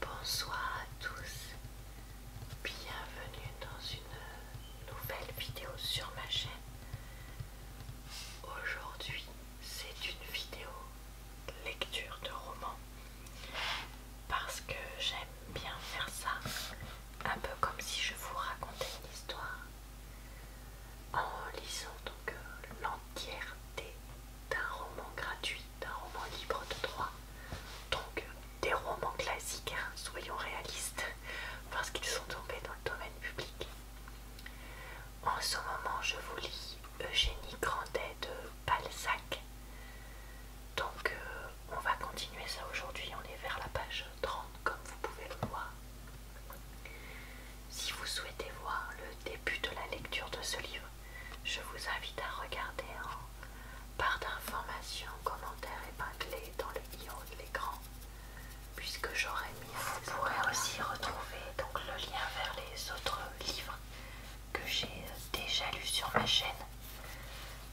Bonsoir à tous, bienvenue dans une nouvelle vidéo sur ma chaîne. Aujourd'hui, c'est une vidéo lecture de roman parce que j'aime bien faire ça, un peu comme si je vous racontais une histoire en lisant donc euh, l'entièreté d'un roman gratuit, d'un roman libre de droit. Donc des romans classiques, hein, soyons réalistes, parce qu'ils sont tombés dans le domaine public. En ce moment, je vous lis Eugénie Grandet de Balzac. Donc euh, on va continuer ça aujourd'hui, on est vers la page 30 comme vous pouvez le voir. Si vous souhaitez voir le début de la lecture de ce livre, je vous invite à regarder en barre d'informations, commentaires épinglés dans le i de l'écran, puisque j'aurais mis. Vous pourrez aussi retrouver donc le lien vers les autres livres que j'ai déjà lus sur ma chaîne.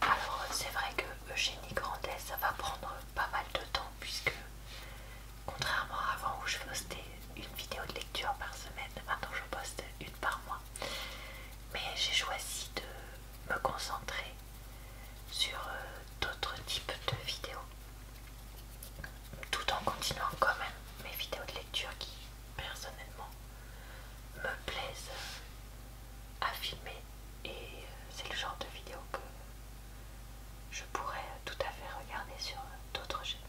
Alors c'est vrai que Eugénie Grandet, ça va prendre pas mal de temps puisque contrairement à avant où je postais une vidéo de lecture par semaine, maintenant je poste une par mois. Mais j'ai choisi de me concentrer sur euh, d'autres types de vidéos, tout en continuant quand même mes vidéos de lecture qui personnellement me plaisent à filmer et euh, c'est le genre de vidéo que je pourrais tout à fait regarder sur d'autres chaînes.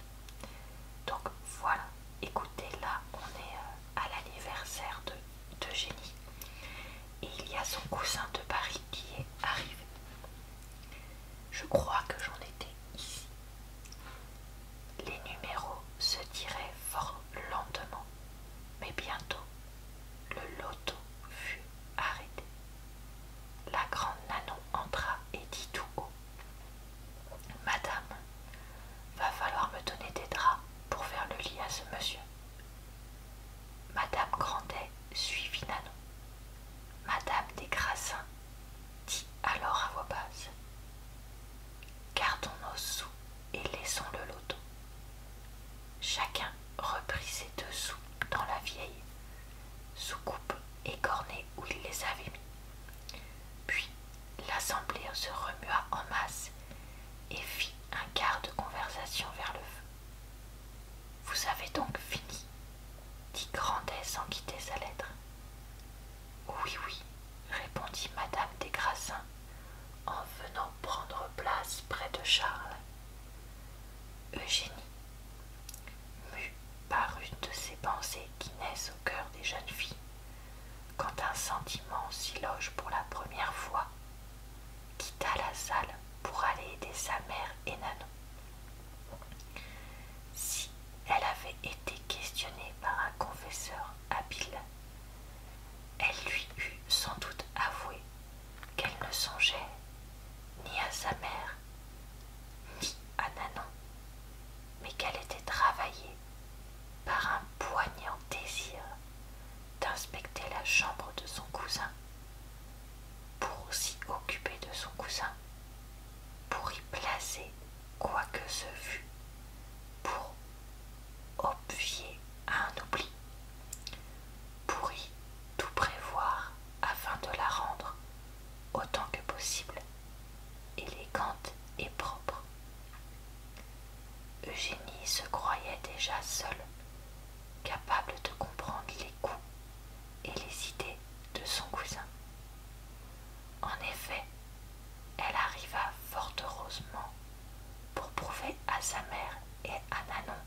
Donc voilà, écoutez, là on est euh, à l'anniversaire de, de et il y a son cousin de Paris qui est arrivé. Je crois que j'en étais ici. Les numéros se tiraient fort lentement, mais bientôt le loto fut arrêté. La grande Nanon entra et dit tout haut Madame, va falloir me donner des draps pour faire le lit à ce monsieur. Madame Grandet suivit Nanon. Madame des Grassins dit alors à voix basse Gardons nos sous et laissons le loto. Chacun reprit ses deux sous dans la vieille, sous coupe écornée où il les avait mis. Puis L'assemblée se remua en masse et fit un quart de conversation vers le feu. Vous avez donc fini dit Grandet sans quitter sa lettre. Oui, oui, répondit Madame des Grassins en venant prendre place près de Charles. Eugénie, mue par une de ces pensées qui naissent au cœur des jeunes filles, quand un sentiment s'y loge pour la première fois, quitta la salle pour aller aider sa mère et Nanon. Si elle avait été questionnée par un confesseur habile, elle lui eût sans doute avoué qu'elle ne songeait ni à sa mère, ni à Nanon, mais qu'elle était travaillée par un poignant désir d'inspecter la chambre de son cousin, pour s'y occuper de son cousin, pour y placer quoi que ce fût, pour obvier à un oubli, pour y tout prévoir afin de la rendre autant que possible élégante et propre. Eugénie se croyait déjà seule, capable de comprendre les goûts et les idées de son cousin. En effet, elle arriva fort heureusement pour prouver à sa mère et à Nanon,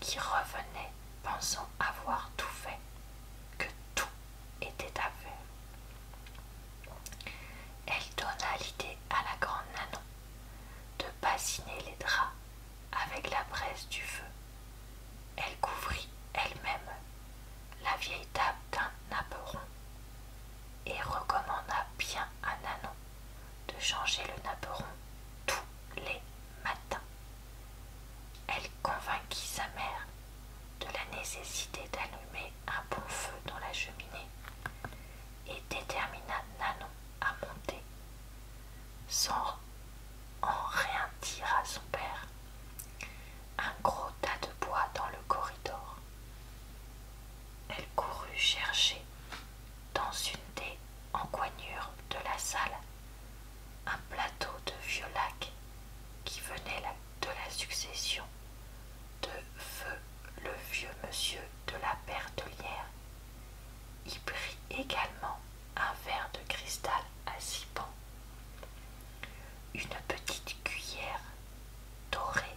qui revenaient pensant avoir tout fait, que tout était à faire elle donna l'idée à la grande Nanon de bassiner les draps avec la braise du feu. Elle couvrit elle-même la vieille table d'un napperon et recommanda bien à Nanon de changer le napperon tous les matins. Elle convainquit sa mère de la nécessité d'allumer un bon feu dans la cheminée et détermina Nanon à monter, sans en rien dire à son père, un gros tas de bois dans le corridor. Elle courut chercher dans une des encoignures de la salle un plateau de vieux lacs qui venait la de la succession de feu le vieux monsieur de la Bertelière. Y prit également un verre de cristal à six pans, une petite cuillère dorée,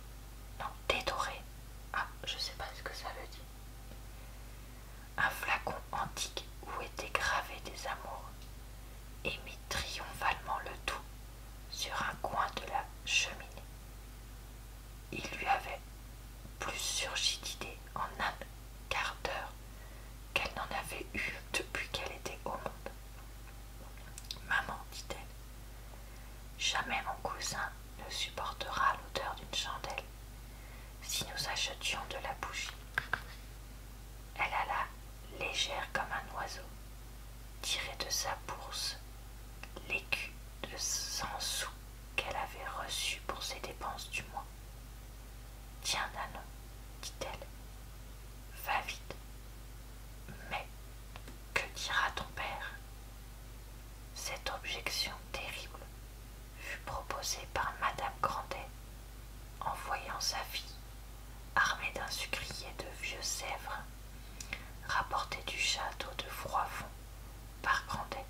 non dédorée, ah je sais pas ce que ça veut dire, un flacon antique où étaient gravés des amours, et mit triomphalement le tout sur un coin de la cheminée. Il lui avait plus surgi d'idées en un quart d'heure qu'elle n'en avait eu depuis qu'elle était au monde. Maman, dit-elle, jamais mon cousin ne supportera l'odeur d'une chandelle si nous achetions de la bougie. Elle alla légère comme un oiseau, tirait de sa bourse l'écu de cent sous qu'elle avait reçu pour ses dépenses du mois. Tiens, Nanon, dit-elle, va vite. Mais que dira ton père Cette objection terrible fut proposée par Madame Grandet en voyant sa fille armé d'un sucrier de vieux sèvres, rapporté du château de Froidfond par Grandet.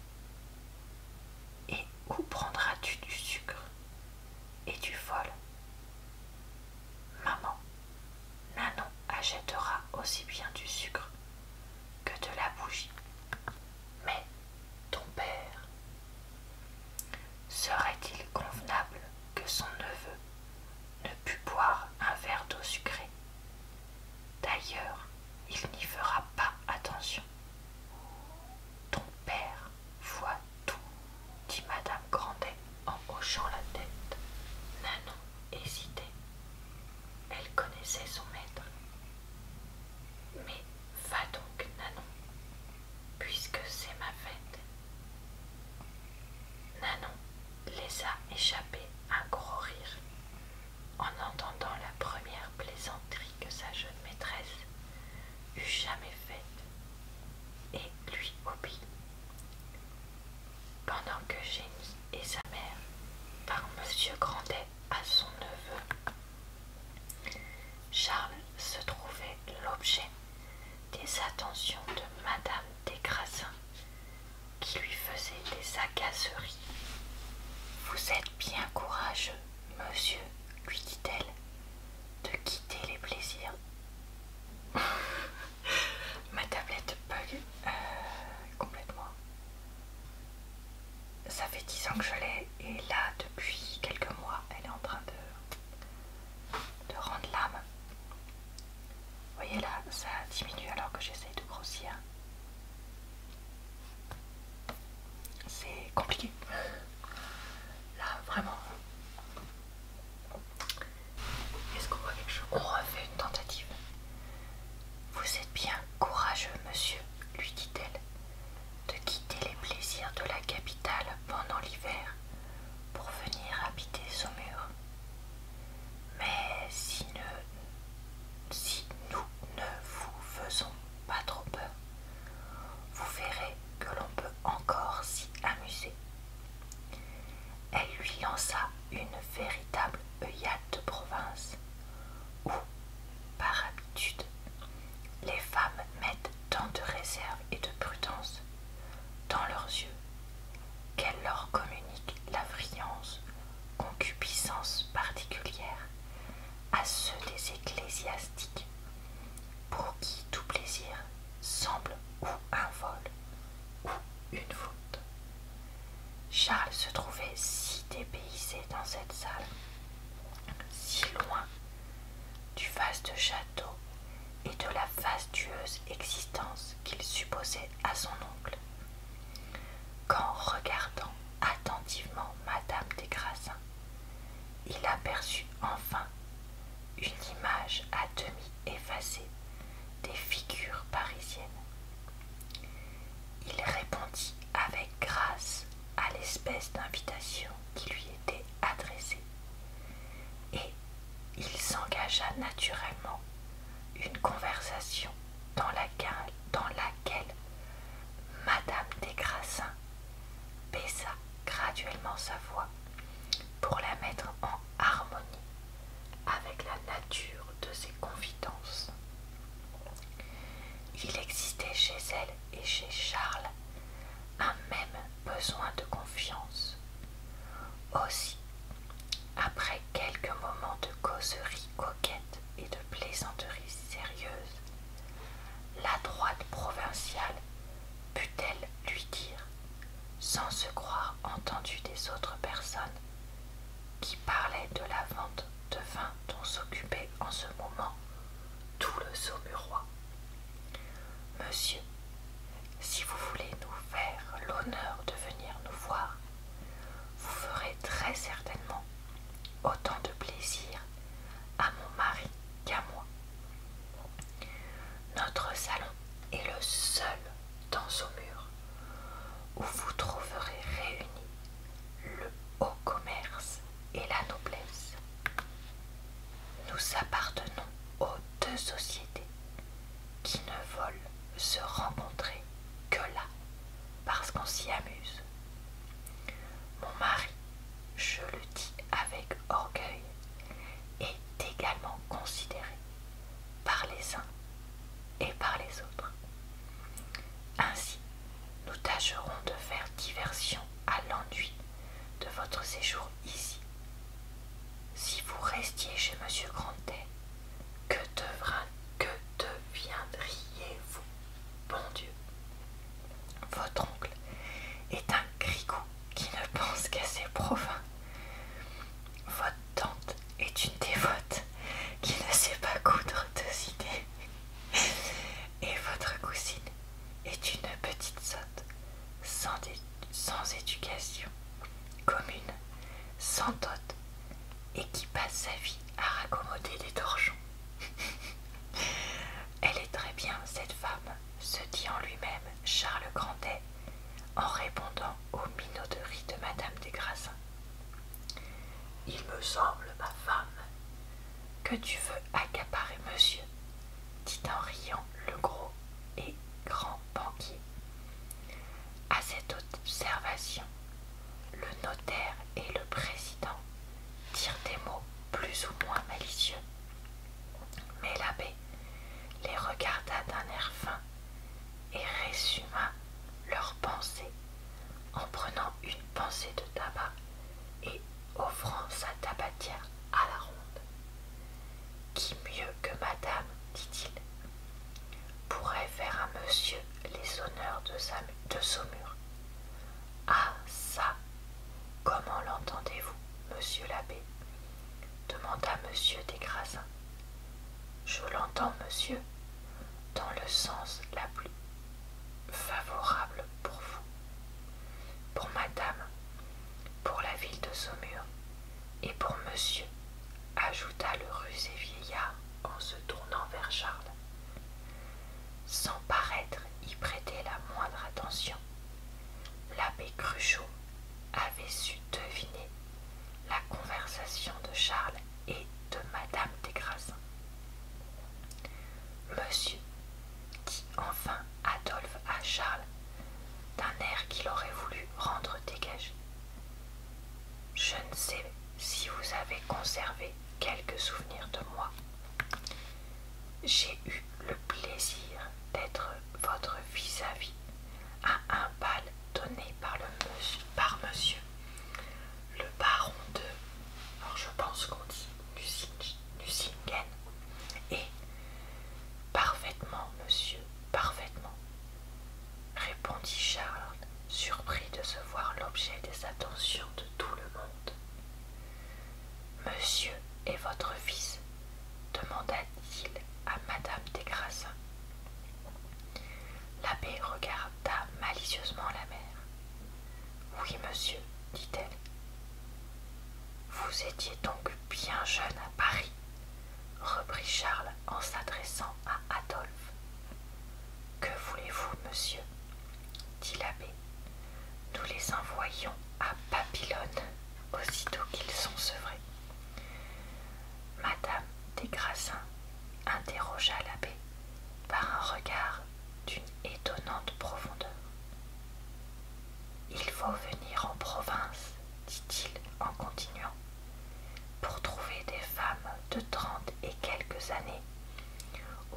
Et où prendras-tu du sucre et du fol Maman, Nanon achètera aussi bien du sucre que de la bougie. Mais ton père, serait-il convenable que son neveu ne put boire un verre d'eau sucrée. D'ailleurs, il n'y fera pas attention. Ton père voit tout, dit Madame Grandet en hochant la tête. Nanon hésitait. Elle connaissait son maître. Mais va donc, Nanon, puisque c'est ma fête Nanon laissa échapper un gros rire en entendant la première plaisanterie que sa jeune maîtresse eût jamais faite et lui obéit. Pendant que Jenny et sa mère, par Monsieur Grandet à son neveu, Charles se trouvait l'objet des attentions de Madame Desgrassins qui lui faisait des agaceries. Vous êtes bien courageux, monsieur, lui dit-elle, de quitter les plaisirs. Ma tablette bug euh, complètement. Ça fait dix ans que je l'ai et là depuis quelques mois elle est en train de rendre l'âme voyez là, ça diminue alors que j'essaie de grossir. C'est compliqué. Là, vraiment. Est-ce qu'on voit quelque chose On refait une tentative. Vous êtes bien courageux, monsieur, lui dit-elle, de quitter les plaisirs de la capitale pendant l'hiver pour venir habiter Saumur. Mais si, nous ne vous faisons pas trop peur, vous verrez que l'on peut encore s'y amuser. Elle lui lança une véritable œillade de province, où, par habitude, les femmes mettent tant de réserve et de prudence dans leurs yeux, qu'elle leur communique la friance, concupiscence particulière à ceux des ecclésiastiques, pour qui tout plaisir semble ou un vol ou une faute. Charles se trouvait si dépaysé dans cette salle, si loin du vaste château et de la fastueuse existence qu'il supposait à son oncle, qu'en regardant attentivement Madame des Grassins, il aperçut enfin une image à demi effacée des figures parisiennes. Il répondit avec grâce à l'espèce d'invitation qui lui était adressée et il s'engagea naturellement une conversation dans laquelle, dans laquelle Madame des Grassins baissa graduellement sa voix pour la mettre en harmonie avec la nature de ses confidences. Il existait chez elle et chez Charles un même besoin de confiance. Aussi, après quelques moments de causerie coquette et de plaisanterie sérieuse, la droite provinciale put-elle lui dire, sans se croire entendue des autres personnes, qui parlaient de la vente de vin dont s'occupait en ce moment tout le Saumurois. Monsieur, si vous voulez nous faire l'honneur de venir nous voir, vous ferez très certainement autant de plaisir à mon mari qu'à moi. Notre salon est le seul dans mur où vous trouverez réunis le haut commerce et la noblesse. Nous appartenons au deux sociétés qui ne veulent se rencontrer que là, parce qu'on s'y amuse. Mon mari, je le dis avec orgueil, est également considéré par les uns et par les autres. Ainsi, nous tâcherons de faire diversion à l'ennui de votre séjour ici. Si vous restiez chez Monsieur Grandet, que, que deviendriez-vous Bon Dieu Votre oncle est un grigou qui ne pense qu'à ses profins, Votre tante est une dévote qui ne sait pas coudre deux idées. Et votre cousine est une petite sotte, sans doute sans éducation commune, sans dot, et qui passe sa vie à raccommoder des torchons. Elle est très bien, cette femme, se dit en lui-même Charles Grandet, en répondant aux minauderies de Madame des Grassins. Il me semble, ma femme, que tu veux accaparer monsieur dit en riant le gros et grand banquier. À cette observation, le notaire et le président dirent des mots plus ou moins malicieux. Mais l'abbé les regarda d'un air fin et résuma leurs pensées en prenant une pensée de tabac et offrant sa tabatière à la ronde. Qui mieux que madame, dit-il, pourrait faire à monsieur les honneurs de, Saumur Ah, ça Comment l'entendez-vous, monsieur l'abbé demanda monsieur des Grassins. Je l'entends, monsieur, dans le sens la plus favorable pour vous, pour madame, pour la ville de Saumur, et pour monsieur, ajouta le rusé vieillard en se tournant vers Charles. Sans paraître y prêter la moindre attention, l'abbé Cruchot avait su deviner la conversation de Charles et de Madame des Grassins. Monsieur, dit enfin Adolphe à Charles d'un air qu'il aurait voulu rendre dégagé. Je ne sais si vous avez conservé quelques souvenirs de moi. J'ai eu le plaisir d'être votre vis-à-vis -à, un bal donné par, le monsieur, par monsieur le baron de, je pense qu'on dit et parfaitement, monsieur, parfaitement, répondit Charles, surpris de se voir l'objet des attentions de tout le monde. Monsieur est votre fils demanda-t-il à Madame des Grassins. L'abbé regarda malicieusement la mère. Oui, monsieur, dit-elle, vous étiez donc bien jeune à Paris, reprit Charles en s'adressant à Adolphe. Que voulez-vous, monsieur dit l'abbé. Nous les envoyons à Babylone aussitôt qu'ils sont sevrés. Madame des Grassins interrogea l'abbé par un regard d'une étonnante profondeur. Il faut venir en province, dit-il en continuant, pour trouver des femmes de trente et quelques années,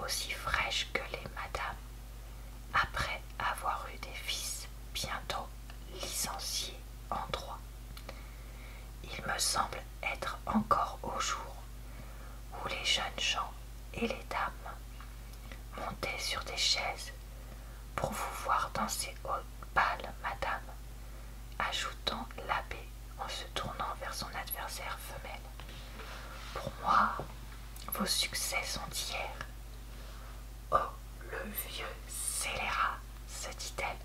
aussi fraîches que les madames, après avoir eu des fils bientôt licenciés en droit. Il me semble être encore au jour où les jeunes gens et les dames montez sur des chaises pour vous voir danser au balles, madame, ajoutant l'abbé en se tournant vers son adversaire femelle. Pour moi, vos succès sont hier. Oh, le vieux scélérat, se dit-elle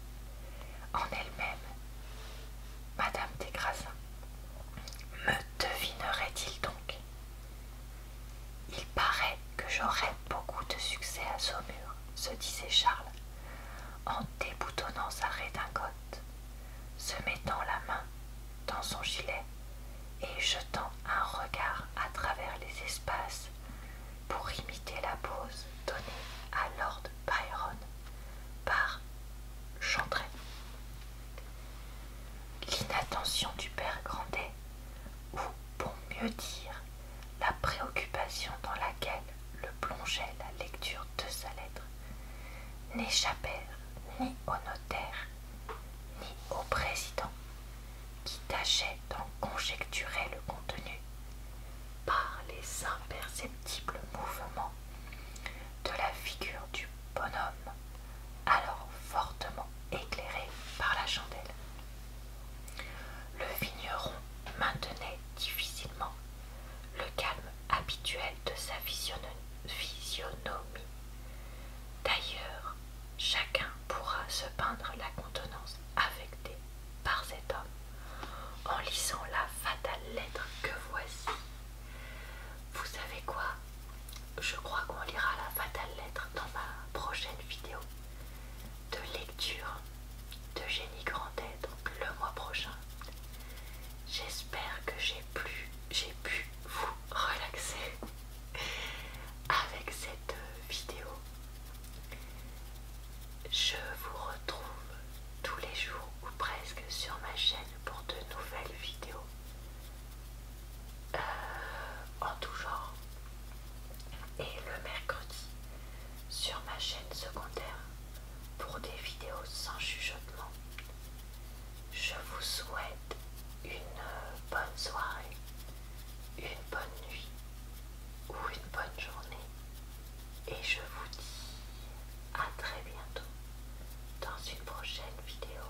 en elle-même. Madame des Grassins, me devinerait-il donc il paraît que j'aurai beaucoup de succès à Saumur, se disait Charles, en déboutonnant sa redingote, se mettant la main dans son gilet et jetant un regard à travers les espaces pour imiter la pose donnée à Lord Byron par Chantray. L'inattention du père Grandet ou, pour mieux dire, la préoccupation dans laquelle le plongeait la lecture de sa lettre, n'échappèrent ni au notaire, ni au président, qui tâchait d'en conjecturer le contenu par les imperceptibles mouvements de la figure du bonhomme, alors fortement éclairée par la chandelle. Le vigneron maintenait difficilement le calme habituel de sa physionomie. D'ailleurs, chacun pourra se peindre la contenance affectée par cet homme en lisant la fatale lettre que voici. Vous savez quoi Je crois qu'on lira la fatale lettre dans ma prochaine vidéo de lecture de Génie Grand Donc le mois prochain. J'espère que j'ai pu, j'ai pu vous relaxer avec cette vidéo. Je vous retrouve tous les jours ou presque sur ma chaîne pour de nouvelles vidéos. Euh, en tout genre. Et le mercredi, sur ma chaîne secondaire, pour des vidéos sans chuchotement. Je vous souhaite une bonne soirée, une bonne nuit ou une bonne journée. Et je vous dis à très bientôt dans une prochaine vidéo.